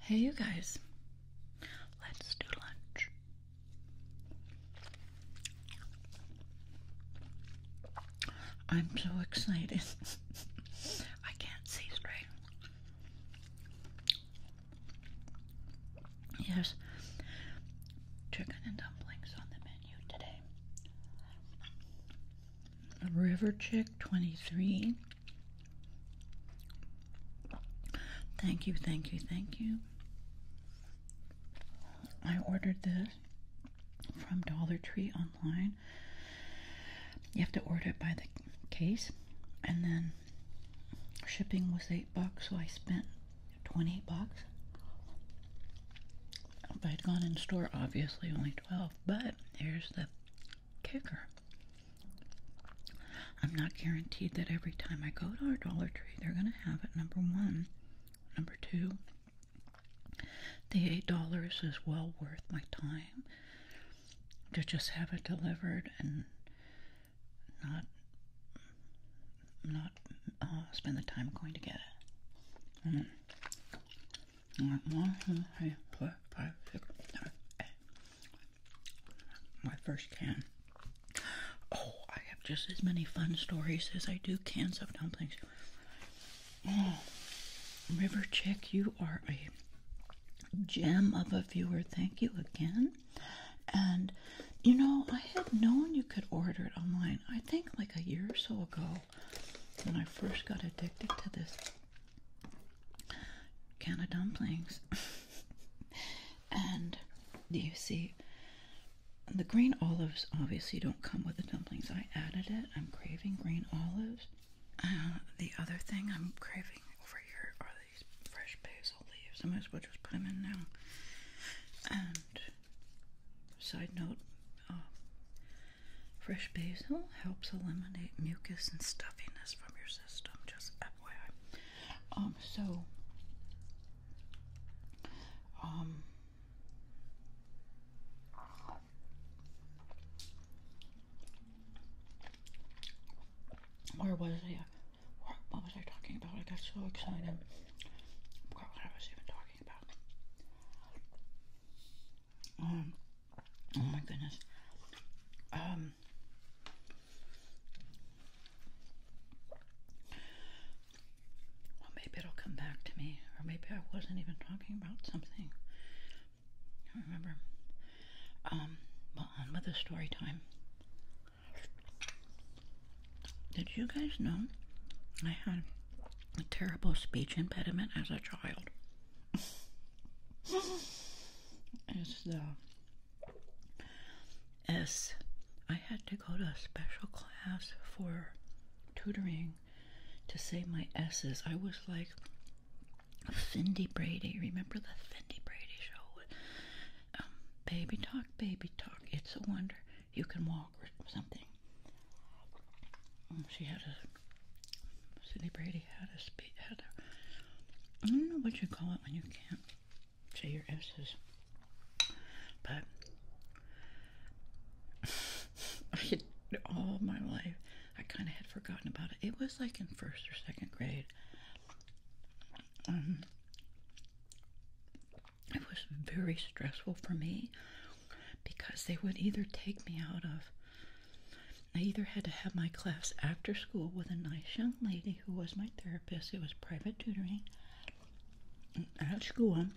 Hey, you guys, let's do lunch. I'm so excited. I can't see straight. Yes, chicken and dumplings on the menu today. River Chick 23. Thank you, thank you, thank you. I ordered this from Dollar Tree online. You have to order it by the case, and then shipping was eight bucks, so I spent 20 bucks. If I'd gone in store, obviously only 12, but here's the kicker. I'm not guaranteed that every time I go to our Dollar Tree, they're going to have it. Number one. Number two, the $8 is well worth my time to just have it delivered and not not uh, spend the time going to get it. Mm. My first can. Oh, I have just as many fun stories as I do cans of dumplings. Oh, River Chick, you are a gem of a viewer. Thank you again. And you know, I had known you could order it online, I think like a year or so ago when I first got addicted to this can of dumplings. and you see, the green olives obviously don't come with the dumplings. I added it. I'm craving green olives. Uh, the other thing I'm craving over here are these fresh basil leaves. I might as well just put them in now. And side note, Oh. fresh basil helps eliminate mucus and stuffiness from your system, just FYI. Um, so, um, where was I? What, was I talking about? I got so excited. forgot what I was even talking about. Um, Oh my goodness. Um, well, maybe it'll come back to me, or maybe I wasn't even talking about something. remember. Um, well, on with the story time. Did you guys know I had a terrible speech impediment as a child? It's the S. I had to go to a special class for tutoring to say my S's. I was like Cindy Brady. Remember the Cindy Brady show? Um, baby talk, baby talk. It's a wonder you can walk or something. Oh, she had a Cindy Brady had a speech. Had a I don't know what you call it when you can't say your S's, but I all my life I kind of had forgotten about it. It was like in first or second grade. Um, it was very stressful for me because they would either take me out of I either had to have my class after school with a nice young lady who was my therapist, it was private tutoring at school,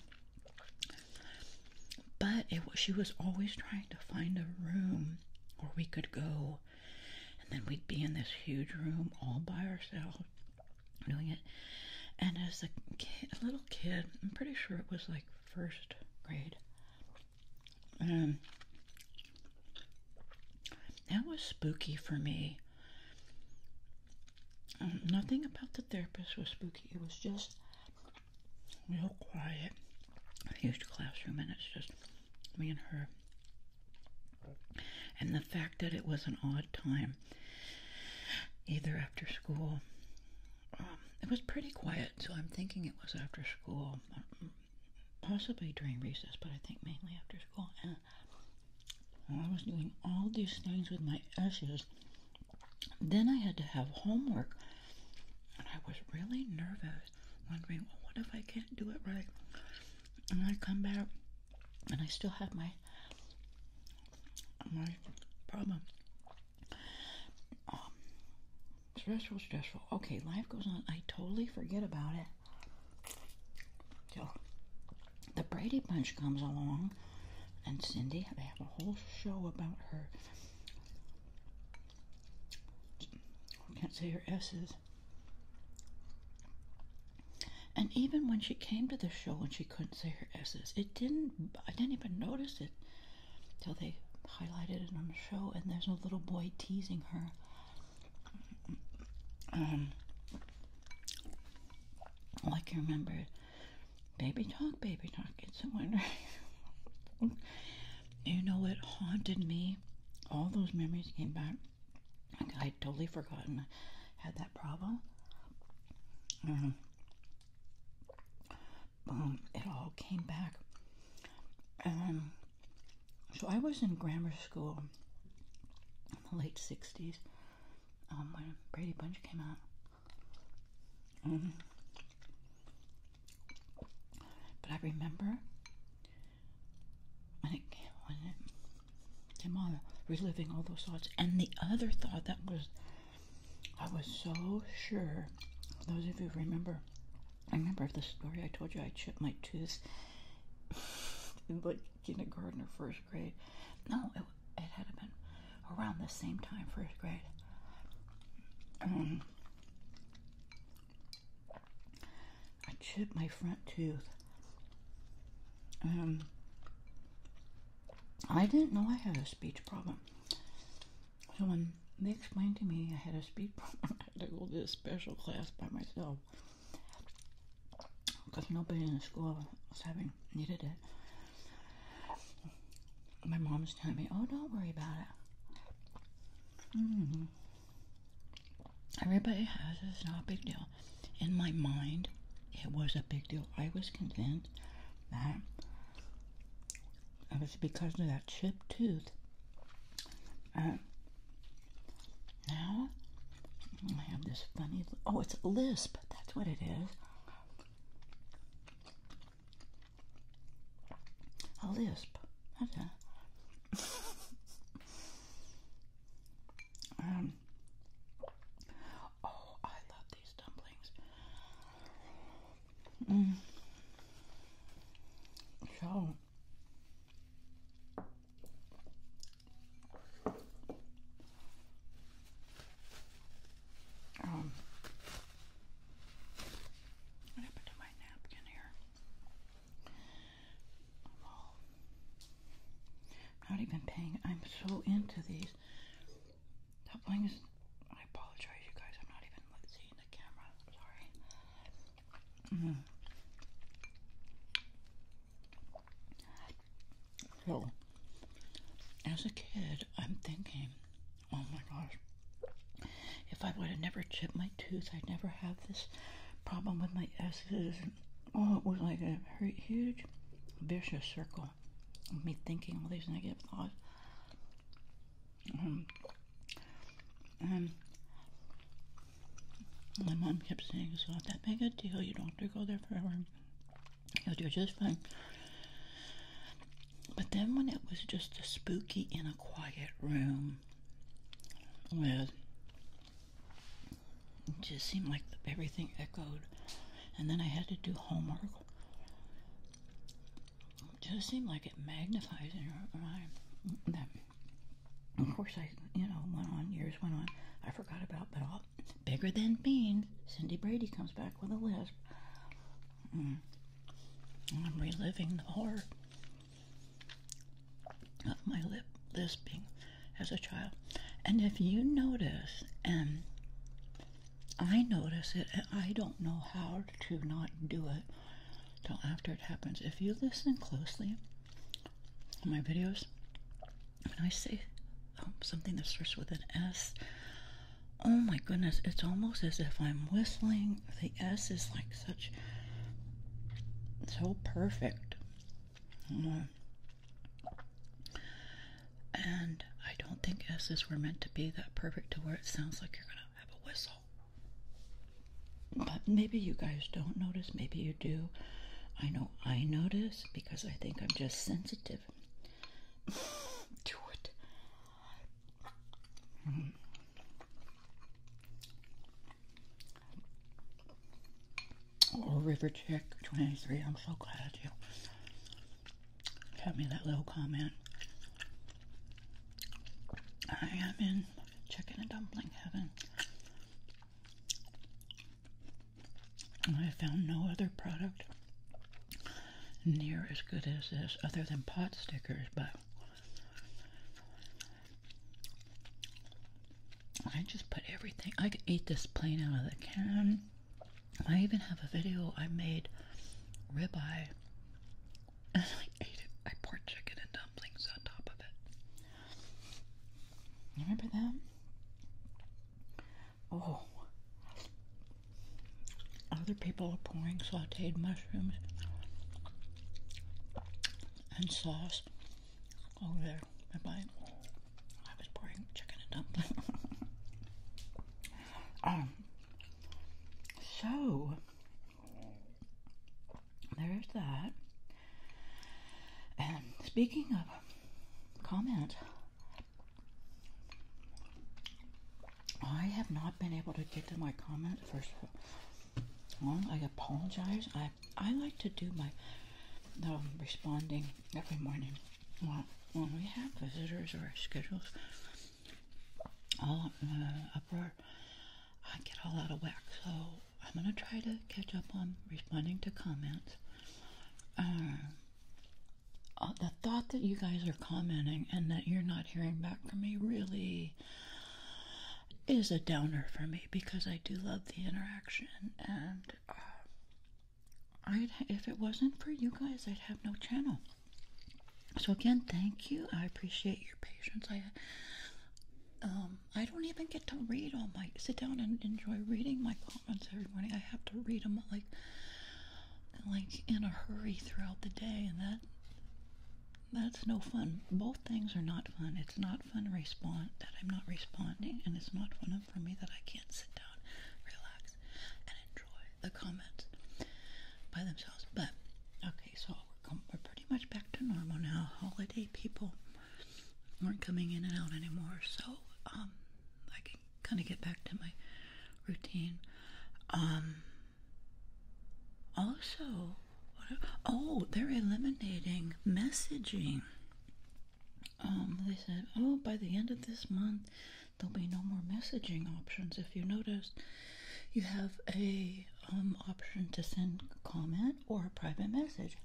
but it was, she was always trying to find a room where we could go, and then we'd be in this huge room all by ourselves doing it. And as a, a little kid, I'm pretty sure it was like first grade, um, that was spooky for me. Um, nothing about the therapist was spooky. It was just real quiet, huge classroom, and it's just me and her. And the fact that it was an odd time, either after school, um, it was pretty quiet so I'm thinking it was after school, mm, possibly during recess, but I think mainly after school. And I was doing all these things with my S's. Then I had to have homework, and I was really nervous, wondering, what if I can't do it right? And I come back, and I still have my my problem. Um, stressful, stressful. Okay, life goes on. I totally forget about it. So, the Brady Bunch comes along, and Cindy, they have a whole show about her. I can't say her S's. And even when she came to the show and she couldn't say her S's, it didn't, I didn't even notice it till they highlighted it on the show, and there's a little boy teasing her. Um, oh, I can remember, baby talk, baby talk. It's a wonder. you know what haunted me? All those memories came back. i totally forgotten I had that problem. Um, boom, um, it all came back. Um, so I was in grammar school in the late 60s um, when Brady Bunch came out. Mm-hmm. but I remember when it came on, reliving all those thoughts. And the other thought that was I was so sure. Those of you remember, I remember the story I told you I chipped my tooth in like kindergarten or first grade. No, it, had been around the same time, first grade. Um, I chipped my front tooth. Um, I didn't know I had a speech problem. So when they explained to me I had a speed problem, I had to go to this special class by myself because nobody in the school was having needed it. My mom was telling me, "Oh, don't worry about it. Mm. Everybody has it. It's not a big deal." In my mind, it was a big deal. I was convinced that it was because of that chipped tooth. And um, now I have this funny, oh, it's a lisp. That's what it is. A lisp. Oh, I love these dumplings. Mm. So what happened to my napkin here? not even paying. I'm so into these. That I apologize, you guys. I'm not even seeing the camera. sorry. So, mm-hmm. as a kid, I'm thinking, oh my gosh, if I would have never chipped my tooth, I'd never have this problem with my S's. Oh, it was like a huge, vicious circle me thinking all these negative thoughts. and um, um, my mom kept saying, It's not that big a deal. You don't have to go there forever. You'll do just fine. But then when it was just a spooky in a quiet room it just seemed like everything echoed and then I had to do homework it does seem like it magnifies in your mind. That, of course, I you know went on years went on. I forgot about, but all bigger than beans. Cindy Brady comes back with a lisp. Mm. I'm reliving the horror of my lip lisping as a child. And if you notice, and um, I notice it and I don't know how to not do it till after it happens. If you listen closely to my videos, when I say um, something that starts with an S, oh my goodness, it's almost as if I'm whistling. The S is like such, so perfect. And I don't think S's were meant to be that perfect to where it sounds like you're gonna have a whistle. But maybe you guys don't notice, maybe you do. I know I notice because I think I'm just sensitive to it. Mm. River Chick 23, I'm so glad you Sent me that little comment. I am in chicken and dumpling heaven. And I found no other product near as good as this other than pot stickers, but I just put everything. I could eat this plain out of the can. I even have a video I made ribeye and I ate it. I poured chicken and dumplings on top of it. Remember that? Oh. Other people are pouring sauteed mushrooms and sauce over oh, there. Bye bye. I was pouring chicken and dumplings. um, so there's that. And speaking of comment, I have not been able to get to my comment First of all, I apologize. I I like to do my um, responding every morning well, when we have visitors or schedules all uh, uproar, I get all out of whack. So I'm going to try to catch up on responding to comments. Uh, uh, the thought that you guys are commenting and that you're not hearing back from me really is a downer for me because I do love the interaction and uh, I'd, if it wasn't for you guys, I'd have no channel. So again, thank you. I appreciate your patience. I um, I don't even get to read all my sit down and enjoy reading my comments every morning. I have to read them like like in a hurry throughout the day, and that that's no fun. Both things are not fun. It's not fun respond that I'm not responding, and it's not fun for me that I can't sit down relax, and enjoy the comments by themselves. But okay, so we're, we pretty much back to normal now. Holiday people weren't coming in and out anymore, so um, I can kind of get back to my routine. Um, also, oh, they're eliminating messaging. Um, they said, oh, by the end of this month, there'll be no more messaging options. If you notice, you have a um, option to send comment or a private message.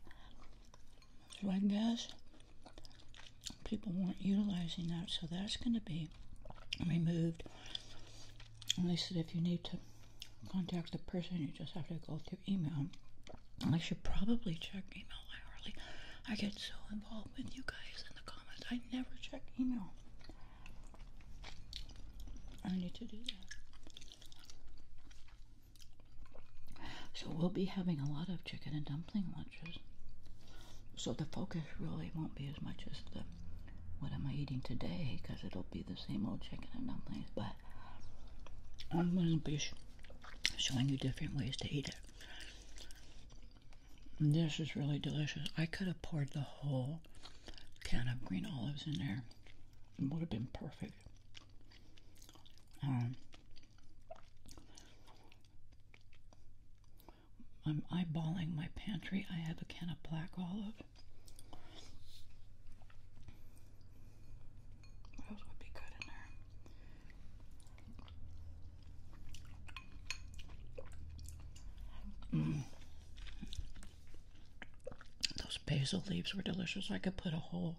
So I guess people weren't utilizing that, so that's going to be removed. And they said if you need to contact the person, you just have to go through email. I should probably check email. I hardly, I get so involved with you guys in the comments. I never check email. I need to do that. So we'll be having a lot of chicken and dumpling lunches. So the focus really won't be as much as the what am I eating today because it'll be the same old chicken and dumplings. But I'm going to be showing you different ways to eat it. This is really delicious. I could have poured the whole can of green olives in there. It would have been perfect. Um, I'm eyeballing my pantry. I have a can of black olive. What else would be good in there? Mm. Those basil leaves were delicious. I could put a whole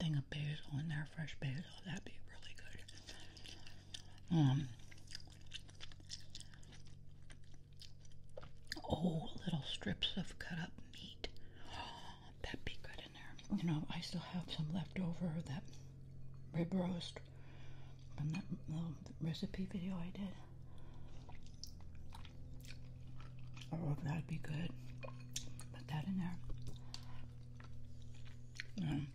thing of basil in there, fresh basil. That'd be really good. Um, oh, little strips of cut up meat that'd be good in there. You know, I still have some left over that rib roast from that recipe video I did. Oh, that'd be good. Put that in there. Um,